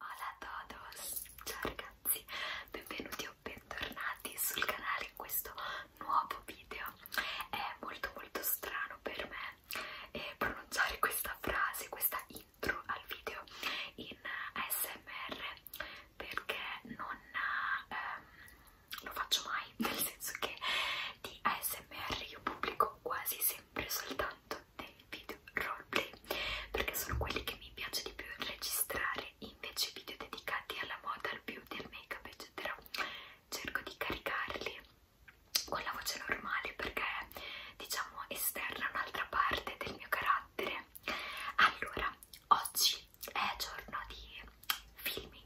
Hola a todos, ciao ragazzi, benvenuti o bentornati sul canale in questo nuovo video. È molto molto strano per me eh, pronunciare questa frase, questa intro al video in ASMR perché non, ehm, lo faccio mai, nel senso che di ASMR io pubblico quasi sempre soltanto dei video roleplay perché sono quelli che mi piace di più registrare, invece video dedicati alla moda, al beauty, al make up eccetera cerco di caricarli con la voce normale perché diciamo esterna un'altra parte del mio carattere allora oggi è giorno di filming,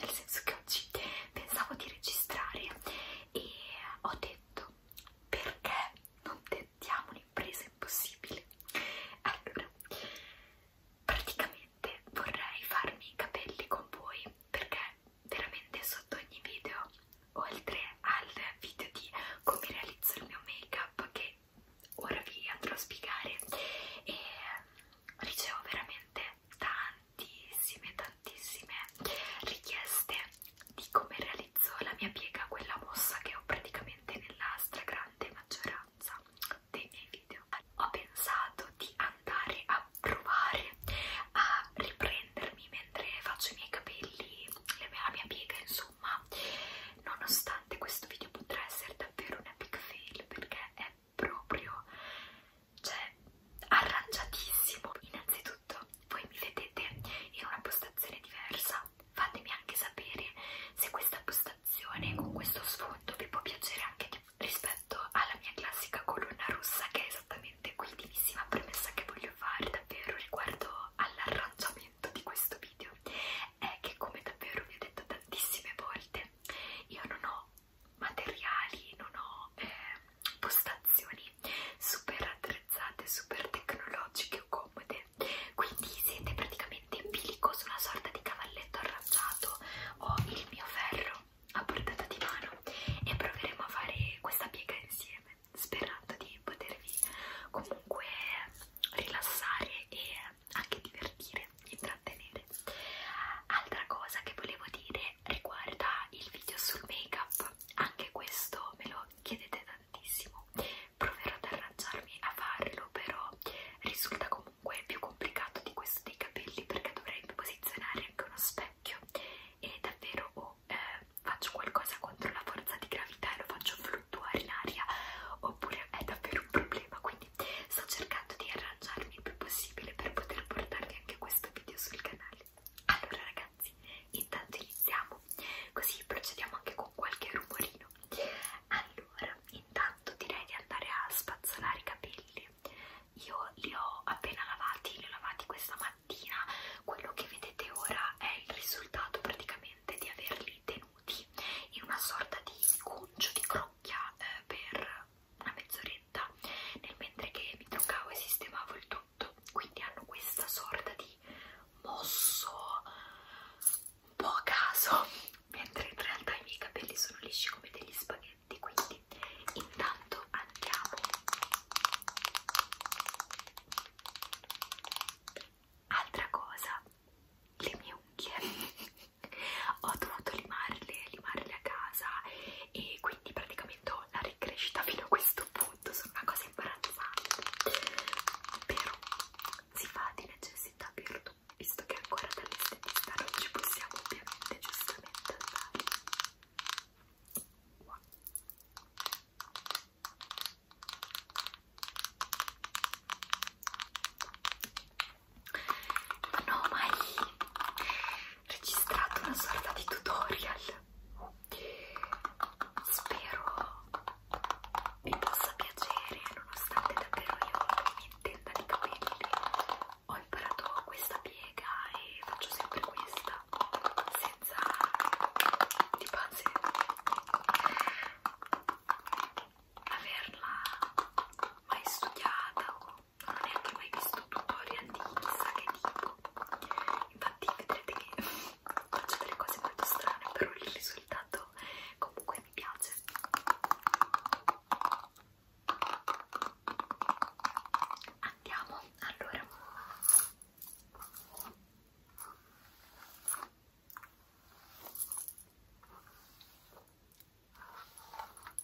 nel senso che oggi pensavo di registrare e ho detto perché non tentiamo un'impresa impossibile? Allora, praticamente vorrei farmi i capelli con voi perché veramente sotto ogni video, oltre al video di come realizzo il mio make-up che ora vi andrò a spiegare e ricevo veramente tanti tantissime, tantissime richieste di come realizzo la mia piega, quella mossa che ho praticamente nella stragrande maggioranza dei miei video. Ho pensato di andare a provare a riprendermi mentre faccio i miei capelli, la mia piega insomma, nonostante questo video potrà essere davvero un epic fail perché è proprio cioè arrangiatissimo innanzitutto voi mi vedete in una postazione diversa fatemi anche sapere se questa postazione con questo sfondo vi può piacere anche di rispetto alla mia classica colonna rossa che è esattamente qui l'ultimissima premessa che voglio fare davvero riguardo all'arrangiamento di questo video è che come davvero vi ho detto tantissime volte io non ho materiali, non ho eh, postazioni super attrezzate, super tecnologiche o comode, quindi siete praticamente in bilico su una sorta di cavalletto arrangiato. Ho il mio ferro a portata di mano e proveremo a fare questa piega insieme, sperando di potervi comunque rilassare e anche divertire intrattenere, intrattenere. Altra cosa che volevo dire riguarda il video sul make up, anche questo me lo chiedete tantissimo, proverò ad arrangiarmi a farlo, però risulta comunque più complicato di questo dei capelli perché dovrei posizionare anche uno specchio e davvero o oh, eh, faccio qualcosa contro la forza di gravità e lo faccio fluttuare in aria oppure è davvero un problema, quindi canali. Sto cercando di arrangiarmi il più possibile per poter portarvi anche questo video sul canale. Allora ragazzi, intanto iniziamo, così procediamo anche con qualche rumorino. Allora, intanto direi di andare a spazzolare i capelli. Io li ho appena lavati, li ho lavati questa mattina. Quello che vedete ora è il risultato praticamente di averli tenuti in una sorta di concio di crocchia eh, per una mezz'oretta nel mentre che mi truccavo e sistemavo il tutto quindi hanno questa sorta di mosso un po' a caso mentre in realtà i miei capelli sono lisci come degli spaghetti quindi intanto andiamo altra cosa le mie unghie ho dovuto limarle, limarle a casa e quindi praticamente ho la ricrescita fino a questo punto, sono una cosa imbarazzante, però si fa di necessità virtù, visto che ancora dall'estetista non ci possiamo ovviamente giustamente andare. Wow non ho mai registrato una sorta di tutorial spero vi possa piacere nonostante davvero io mi intenda di capelli ho imparato questa piega e faccio sempre questa senza di base averla mai studiata o non ho neanche mai visto tutorial di chissà che tipo infatti vedrete che faccio delle cose molto strane però il risultato comunque mi piace andiamo allora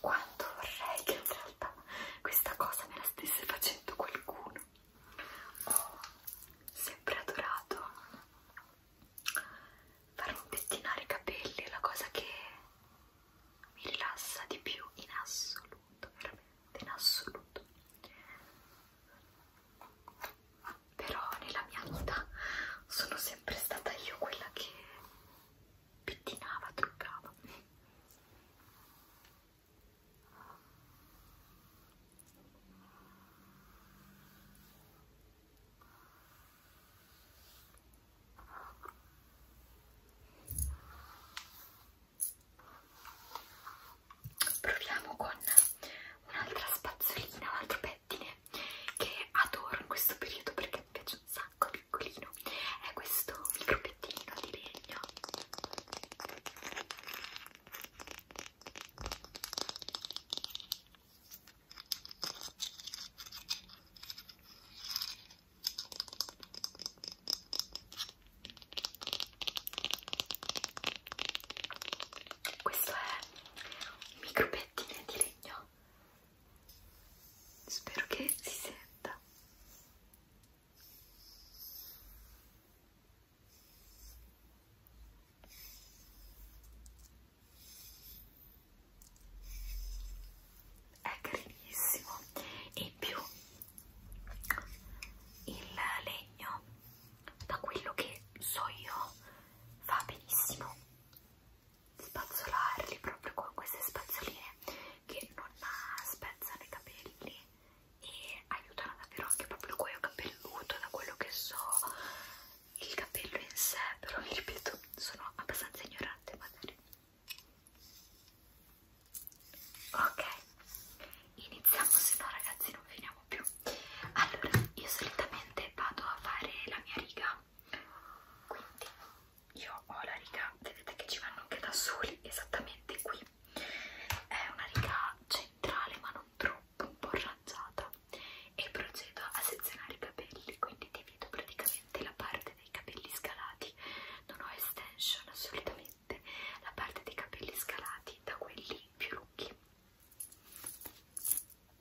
Quanto vorrei che in realtà questa cosa me la stesse facendo qualcuno. Ho sempre adorato farmi pettinare i capelli, è la cosa che mi rilassa di più in assoluto, veramente in assoluto. Però nella mia vita sono sempre stata io quella che pettinava, truccava Proviamo con un'altra spazzolina, un altro pettine che adoro in questo periodo perché mi piace un sacco piccolino è questo micropettinino di legno questo è un micro pettine di legno spero che si senta è carinissimo e in più il legno da quello che so io fa benissimo spazzolarli proprio con queste spazzoline che non spezzano i capelli e aiutano davvero anche proprio il cuoio capelluto da quello che so il capello in sé però vi ripeto sono abbastanza ignorante in materia ok iniziamo se no ragazzi non finiamo più allora io solitamente vado a fare la mia riga quindi io ho la riga vedete che ci vanno anche da soli esattamente qui è una riga centrale ma non troppo un po' arrangiata e procedo a sezionare i capelli quindi divido praticamente la parte dei capelli scalati non ho extension assolutamente la parte dei capelli scalati da quelli più lunghi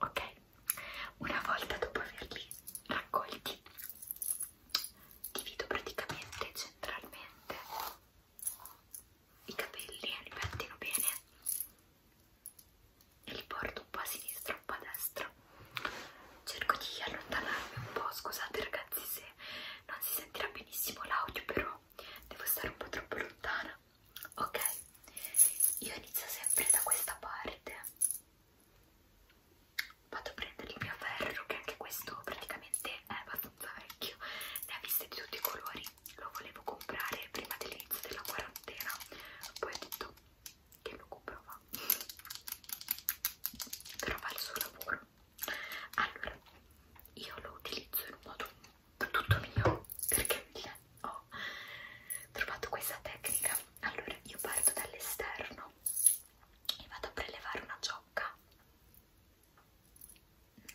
ok? Una volta dopo averli raccolti, divido praticamente centralmente i capelli, li pettino bene e li porto un po' a sinistra, un po' a destra. Cerco di allontanarmi un po', scusate ragazzi se non si sentirà benissimo l'audio, però devo stare un po' troppo lontana. Ok, io inizio sempre da questa parte vado a prendere il mio ferro che anche questo praticamente è abbastanza vecchio ne ha viste di tutti i colori lo volevo comprare prima dell'inizio della quarantena poi ho detto che lo comprava però fa il suo lavoro allora io lo utilizzo in un modo tutto mio perché mi viene ho trovato questa tecnica allora io parto dall'esterno e vado a prelevare una giocca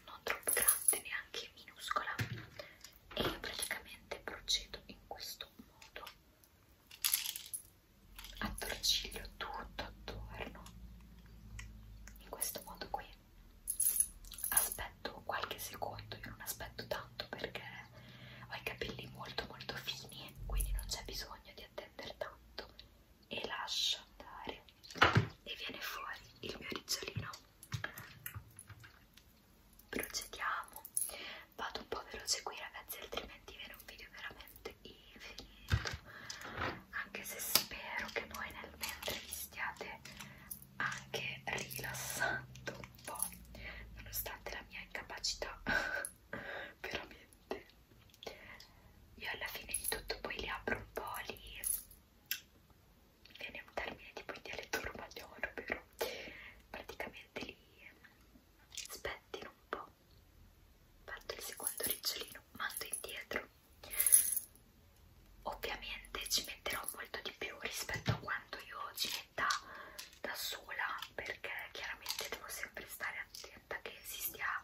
non troppo grande neanche minuscola e io praticamente procedo in questo modo attorciglio tutto attorno in questo modo qui aspetto qualche secondo io non aspetto tanto perché ho i capelli molto molto fini quindi non c'è bisogno di attendere tanto e lascio andare e viene fuori il mio ricciolino procediamo vado un po' veloce qui ragazzi altrimenti viene un video veramente infinito anche se spero che voi nel mentre vi stiate anche rilassando po', nonostante la mia incapacità, veramente. Io alla fine di tutto poi li apro un po' lì, viene un termine tipo in dialetto romagnolo, però praticamente li spettino un po'. Fatto il secondo ricciolino, mando indietro. Ovviamente ci metterò molto di più rispetto a quanto io ci città da sola perché chiaramente devo sempre stare attenta che si stia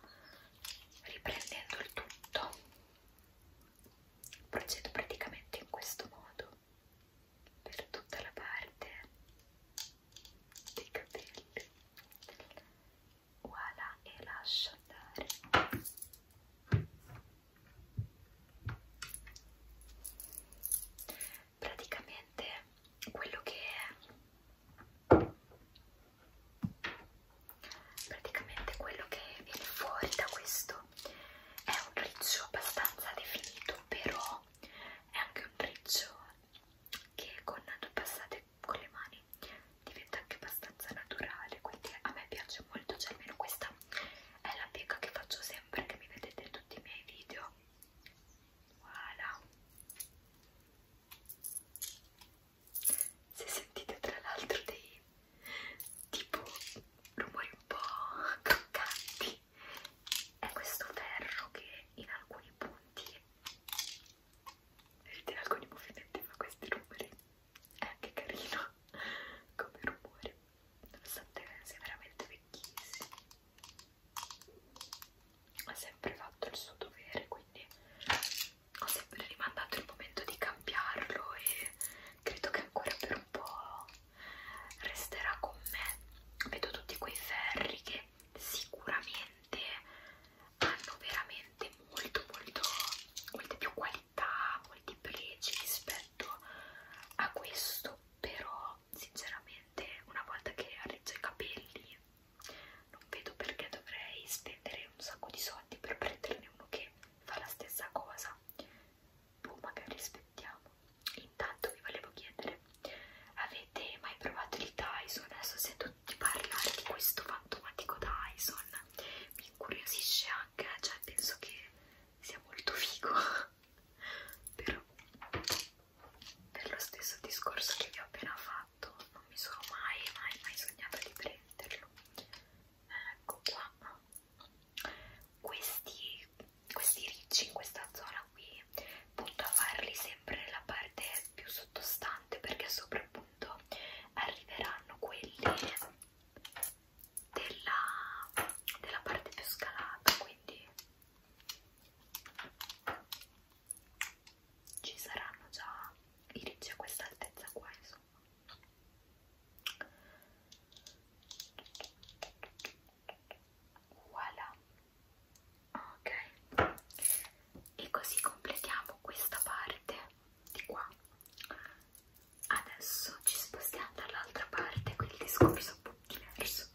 riprendendo il tutto procedo praticamente in questo modo per tutta la parte dei capelli voilà e lascio andare praticamente quello che è praticamente quello che viene fuori da questo è un riccio abbastanza definito però è anche un riccio che con due passate con le mani diventa anche abbastanza naturale quindi a me piace molto cioè almeno questa è la piega che faccio sempre che mi vedete tutti i miei video voilà se sentite tra l'altro dei tipo rumori un po' croccanti è questo ferro che in alcuni punti vedete in alcuni movimenti fa questi rumori è eh, anche carino come rumore nonostante sia veramente vecchissimo ha sempre fatto il suo dovere quindi ho sempre rimandato il momento di cambiarlo e credo che ancora per un po' resterà con me vedo tutti quei ferri che sicuramente hanno veramente molto molto molte più qualità molti pregi rispetto a questo però sinceramente una volta che arrezzo i capelli non vedo perché dovrei spendere un sacco di soldi per prenderne uno che fa la stessa cosa boh magari aspettiamo intanto vi volevo chiedere avete mai provato il Dyson? adesso sento tutti parlare di questo fantomatico Dyson mi incuriosisce anche cioè penso che sia molto figo però per lo stesso discorso che vi ho appena fatto non mi sono mai mai mai sognata di prenderlo ecco qua questi, questi ricci in questa zona qui punto a farli sempre nella parte più sottostante perché sopra appunto arriveranno quelli della, della parte più scalata quindi ci saranno già i ricci a questa altezza qua insomma voilà ok e così completiamo questa parte di qua adesso ci spostiamo dall'altra parte quindi il discorso è un po' diverso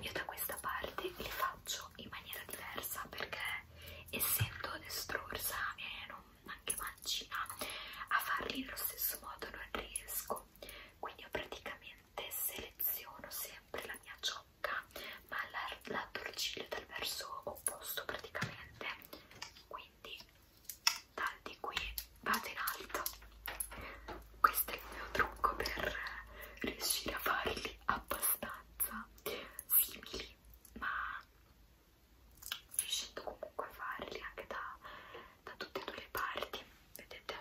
io da questa parte li faccio in maniera diversa perché essendo destrorsa e non anche mancina a farli nello stesso modo non riesco quindi io praticamente seleziono sempre la mia ciocca ma la, la torciglio dal verso opposto praticamente quindi dal di qui vado in alto questo è il mio trucco per riuscire a farli abbastanza simili ma riuscendo comunque a farli anche da, da tutte e due le parti vedete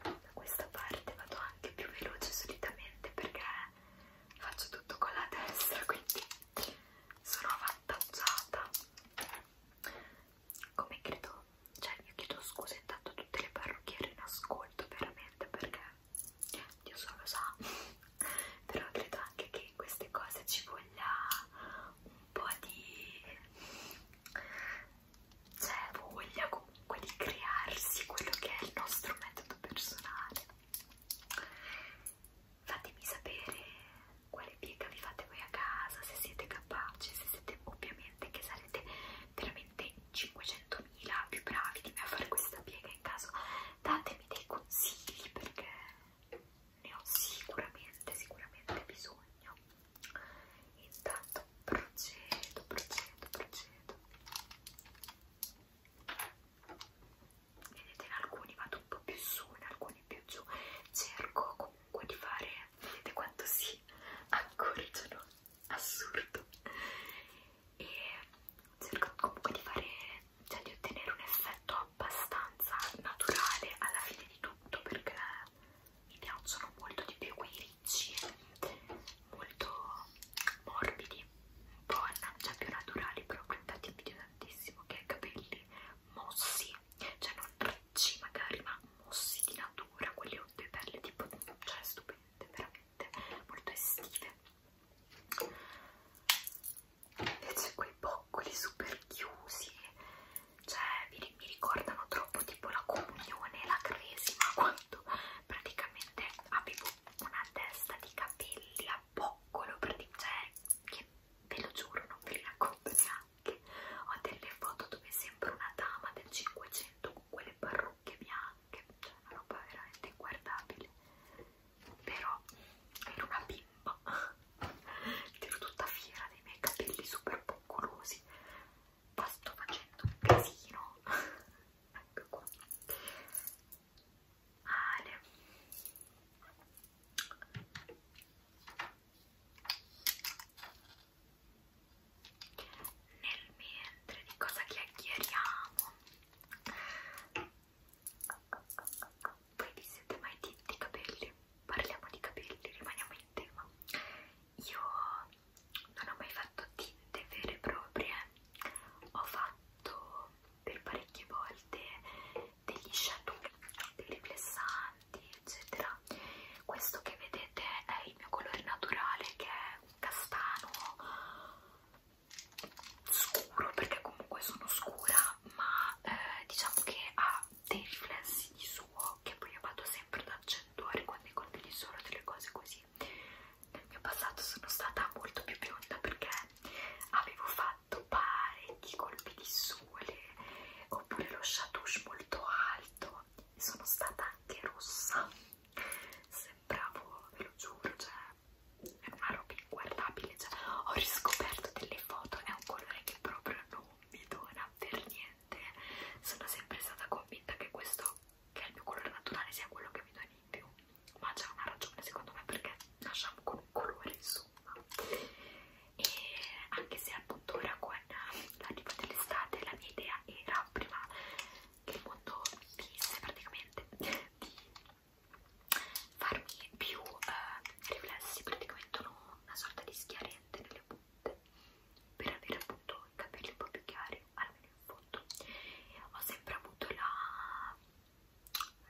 da questa parte vado anche più veloce solitamente perché faccio tutto con la destra quindi sono avvantaggiata come credo, cioè io chiedo scusa intanto a tutte le parrucchiere in ascolto veramente perché Dio solo sa, però credo anche che in queste cose ci voglia un po' di, cioè voglia comunque di crearsi quello che è il nostro metodo personale. Fatemi sapere quale piega vi fate voi a casa, se siete capaci, se siete ovviamente che sarete veramente 500.000 più bravi di me a fare questa piega in caso datemi dei consigli perché ne ho sicuramente, sicuramente bisogno. Intanto procedo, procedo, procedo. Vedete in alcuni vado un po' più su, in alcuni più giù. Cerco comunque comunque di fare, vedete quanto si accorciano, assurdo, e cerco comunque di fare, cioè di ottenere un effetto abbastanza naturale alla fine di tutto perché mi piacciono molto di più quei ricci, molto morbidi, un po' cioè più naturali proprio, infatti mi piace tantissimo che ha capelli mossi, cioè non dolci magari, ma mossi di natura, quelle o due perle tipo, cioè stupende, veramente molto estive. Invece quei boccoli super chiusi, cioè mi, mi ricordano troppo tipo la comunione, la cresima, quando praticamente avevo una testa di capelli a boccolo, cioè che ve lo giuro non vi racconto neanche cioè, bianche, ho delle foto dove sembra una dama del 500 con quelle parrucche bianche, cioè una roba veramente inguardabile, però era una bimba, ero tutta fiera dei miei capelli super boccolosi, ma sto facendo un casino, ecco qua. Ale nel mentre di cosa chiacchieriamo, voi vi siete mai tinti i capelli? Parliamo di capelli, rimaniamo in tema. Io non ho mai fatto tinte vere e proprie, ho fatto per parecchie volte degli shadow, dei riflessanti, eccetera. Questo che vedete è il mio colore naturale, che è un castano scuro, perché comunque sono scura, ma eh, diciamo che ha dei riflessi di suo che poi io vado sempre ad accentuare quando condivido solo delle cose così. Nel mio passato sono stata molto più bionda perché avevo fatto pattupare, i colpi di sole oppure lo chatouche molto alto sono stata anche rossa sembravo, ve lo giuro, cioè è una roba inguardabile cioè, ho riscoperto delle foto è un colore che proprio non mi dona per niente sono sempre stata convinta che questo che è il mio colore naturale sia quello che mi doni in più ma c'è una ragione secondo me perché nasciamo con un colore insomma e anche se appunto ora con l'arrivo dell'estate la mia idea era prima che il mondo finisse praticamente di farmi più eh, riflessi praticamente una sorta di schiarente nelle punte per avere appunto i capelli un po' più chiari almeno in fondo ho sempre avuto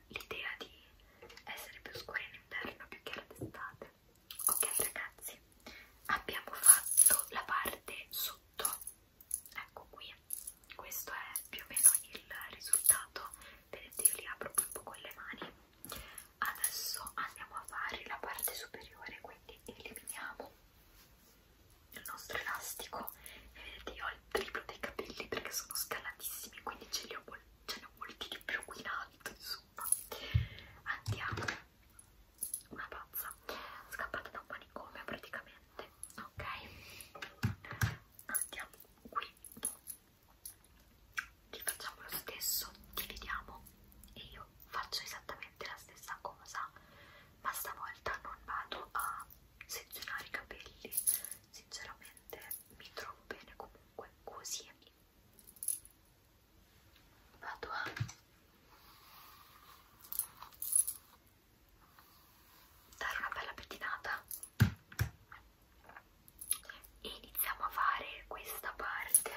l'idea di essere più scura in l'inverno più che era d'estate ok ragazzi abbiamo fatto la parte sotto ecco qui questo è più o meno il risultato vedete io li apro proprio con le mani adesso andiamo a fare la parte superiore quindi eliminiamo il nostro elastico e vedete io ho il triplo dei capelli perché sono scalatissimi quindi ce li ho molto ce ne molti di più qui in alto insomma andiamo una pazza scappata da un manicomio praticamente ok andiamo qui ci facciamo lo stesso dividiamo e io faccio esattamente la stessa cosa ma stavolta non vado a sezionare i capelli sinceramente mi trovo bene comunque così la tua dare una bella pettinata e iniziamo a fare questa parte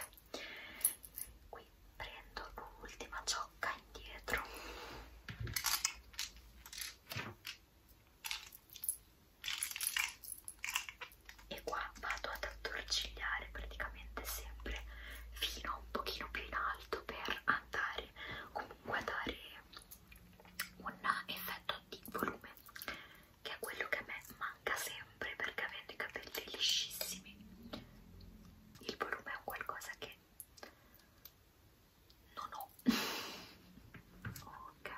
qui prendo l'ultima ciocca indietro e qua vado ad attorcigliare praticamente sempre fino a un pochino più in alto per andare comunque a dare un effetto di volume che è quello che a me manca sempre perché avendo i capelli liscissimi il volume è un qualcosa che non ho ok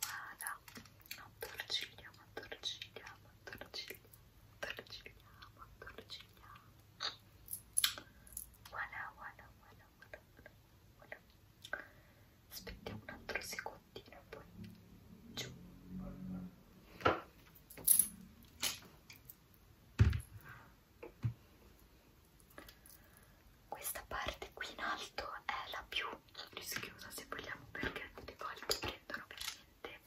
Voilà, attorciglia, attorciglia, attorciglia, attorciglia, attorciglia. Voilà, voilà, voilà, voilà, voilà. Aspettiamo un altro secondino poi giù. Questa parte qui in alto è la più rischiosa se vogliamo perché delle volte prendono veramente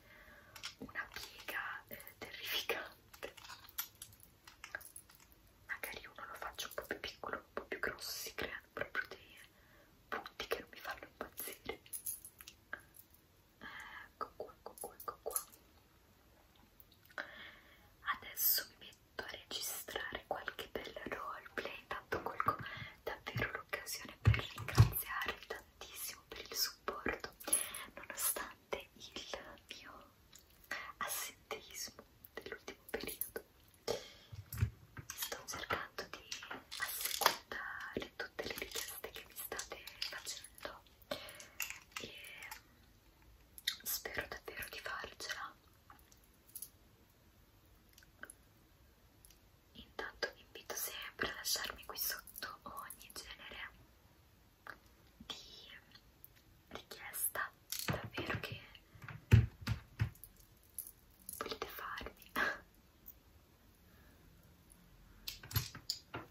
una piega eh, terrificante. Magari uno lo faccio un po' più piccolo, un po' più grosso, si creano proprio dei punti che non mi fanno impazzire ecco qua, ecco qua, ecco qua adesso mi metto a registrare qualche bel roleplay intanto colgo davvero l'occasione per ringraziarvi tantissimo per il supporto nonostante il mio assenteismo dell'ultimo periodo sto cercando di assecondare tutte le richieste che mi state facendo e spero davvero di farcela intanto vi invito sempre a lasciarmi qui sotto ogni genere di richiesta davvero che volete farmi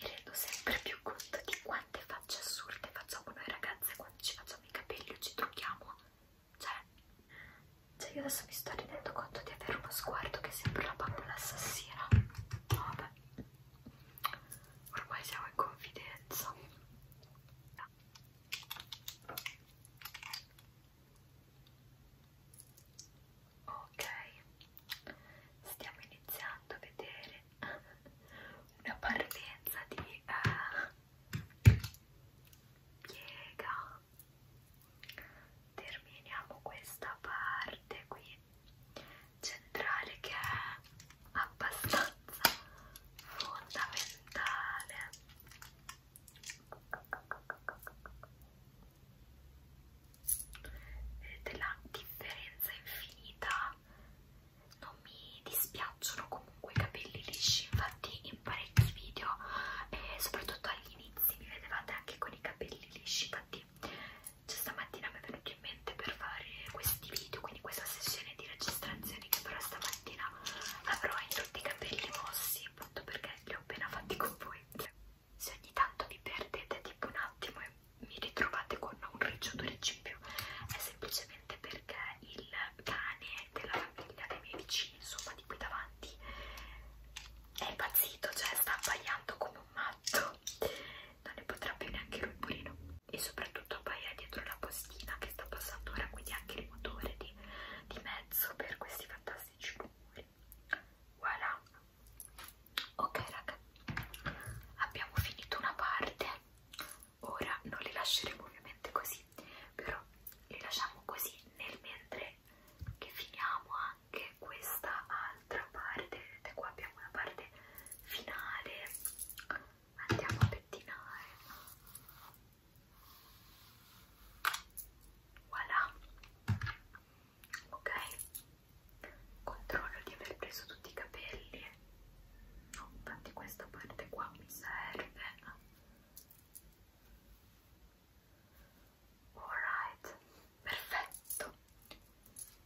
mi rendo sempre più conto di quante facce assurde facciamo noi ragazze quando ci facciamo i capelli o ci trucchiamo cioè, cioè io adesso mi sto rendendo conto di avere uno sguardo che sembra una bambola assassina vabbè ormai siamo in confidenza ok stiamo iniziando a vedere una partenza di uh, piega terminiamo questa parte qui centrale che è abbastanza fondamentale vedete la differenza infinita non mi dispiacciono comunque i capelli lisci, infatti in parecchi video e soprattutto agli inizi mi vedevate anche con i capelli lisci, infatti cioè, stamattina mi è venuto in mente per fare questi video, quindi questa sessione di registrazione che però stamattina avrò in tutti i capelli mossi, appunto perché li ho appena fatti con voi. Se ogni tanto vi perdete tipo un attimo e mi ritrovate con un riccio due ricci in più è semplicemente perché il cane della famiglia dei miei vicini insomma di qui davanti è impazzito cioè sta abbaiando come un matto non ne potrà più neanche lui purino e soprattutto abbaia dietro la postina che sta passando ora quindi anche il motore di, di mezzo per questi fantastici rumori voilà ok raga abbiamo finito una parte ora non li lasceremo ovviamente così però li lasciamo così nel mentre che finiamo anche questa altra parte vedete qua abbiamo una parte finale andiamo a pettinare voilà ok Controllo di aver preso tutti i capelli. No, infatti questa parte qua mi serve. Alright, perfetto.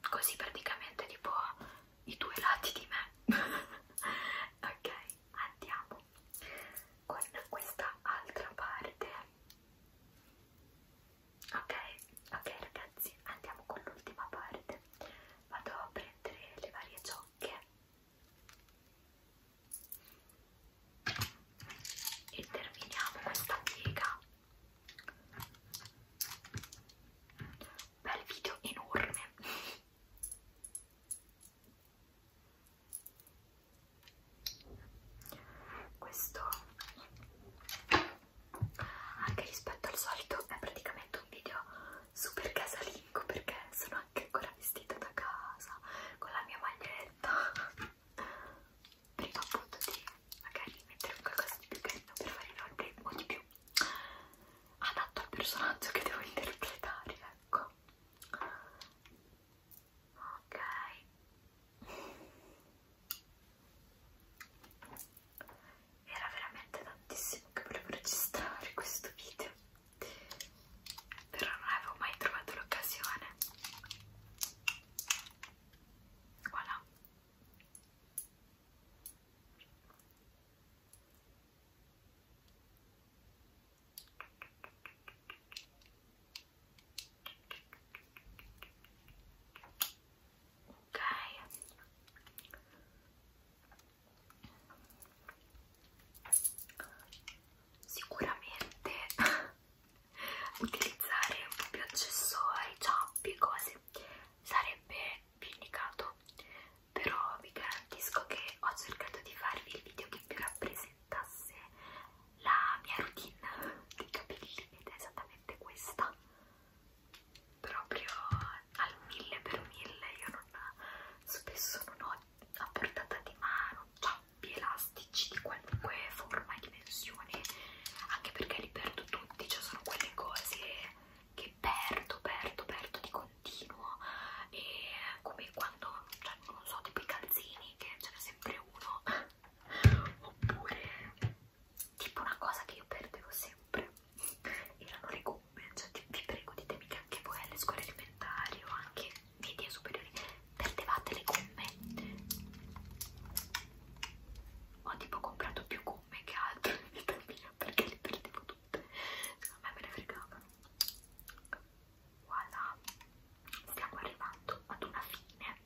Così praticamente tipo i due lati di me. ok, andiamo con questa altra parte ok ok ragazzi andiamo con l'ultima parte vado a prendere le varie ciocche e terminiamo questa piega bel video enorme questo anche rispetto al solito è praticamente un video super casalingo perché sono anche ancora vestita da casa con la mia maglietta prima appunto di magari mettere qualcosa di più carino per fare il roleplay o di più adatto al personaggio che devo interpretare ecco ok era veramente tantissimo che volevo registrare questo video però non avevo mai trovato l'occasione voilà ok sicuramente utilizzare un po' più accessori, ciappi e cose sarebbe più indicato però vi garantisco che ho cercato di farvi il video che più rappresentasse la mia routine dei capelli ed è esattamente questa proprio al mille per mille io non, spesso non ho a portata di mano tappi elastici di qualunque forma e dimensione anche perché li perdo tutti cioè sono quelle cose che perdo perdo perdo di continuo e come quando cioè, non so tipo i calzini che ce n'è sempre uno oppure tipo una cosa che io perdevo sempre erano le gomme cioè vi prego ditemi che anche voi alle scuole elementari o anche media superiori perdevate le gomme ho tipo comprato più gomme che altro in vita mia perché le perdevo tutte a me me ne fregavano voilà stiamo arrivando ad una fine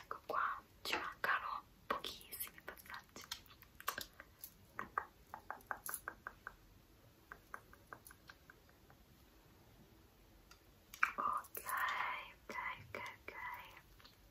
Ecco qua, ci mancano pochissimi passaggi. Ok, ok, ok, ok.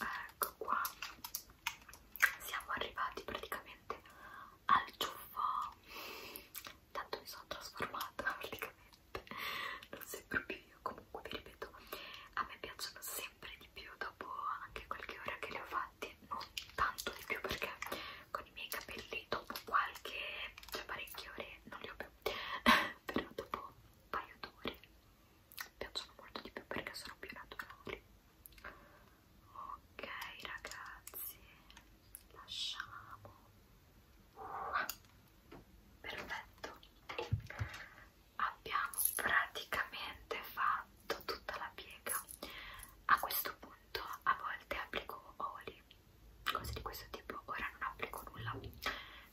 Ecco qua, siamo arrivati praticamente al ciuffo. Tanto mi sono trasformata praticamente, non sembro più io. Comunque, vi ripeto, a me piacciono sempre di più dopo anche qualche ora che le ho fatte. Non tanto di più perché con i miei capelli dopo qualche, cioè parecchie ore, non li ho più, però dopo un paio d'ore mi piacciono molto di più perché sono più naturali. Ok ragazzi, lasciamo. Uh, perfetto. Abbiamo praticamente fatto tutta la piega. A questo punto a volte applico oli cose di questo tipo ora non applico nulla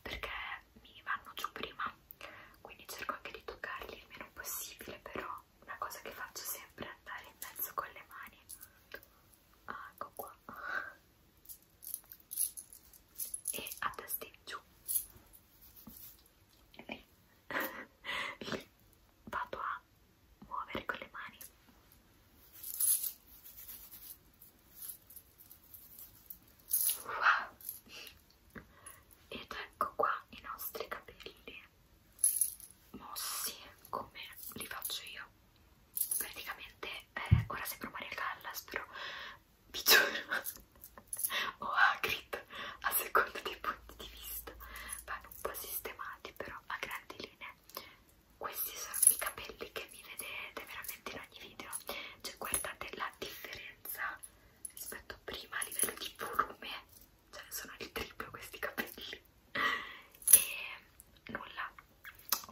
perché mi vanno giù prima quindi cerco anche di toccarli il meno possibile però una cosa che faccio sempre è andare in mezzo con le mani ah, ecco qua e a testa giù lì vado a a muovere con le mani wow. ed ecco qua i nostri capelli mossi come li faccio io praticamente eh, ora sembro Maria Callas però vi giuro o Hagrid a seconda dei punti di vista vanno un po' sistemati però a grandi linee questi sono i capelli che vi vedete veramente in ogni video cioè guardate la differenza rispetto a prima a livello di volume cioè sono il triplo questi capelli e nulla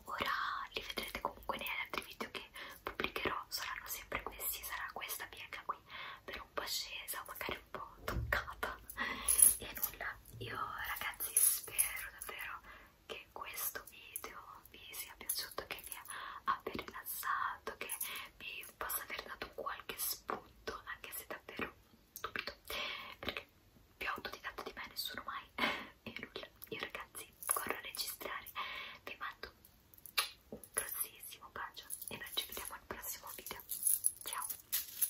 ora li vedrete comunque negli altri video che pubblicherò saranno sempre questi sarà questa piega qui per un po' scesa o magari anche un po' toccata e nulla io ragazzi spero davvero che questo video vi sia piaciuto che vi abbia rilassato che vi possa aver dato qualche spunto anche se davvero dubito perché più autodidatta di me nessuno mai e nulla io ragazzi corro a registrare vi mando un grossissimo bacio e noi ci vediamo al prossimo video ciao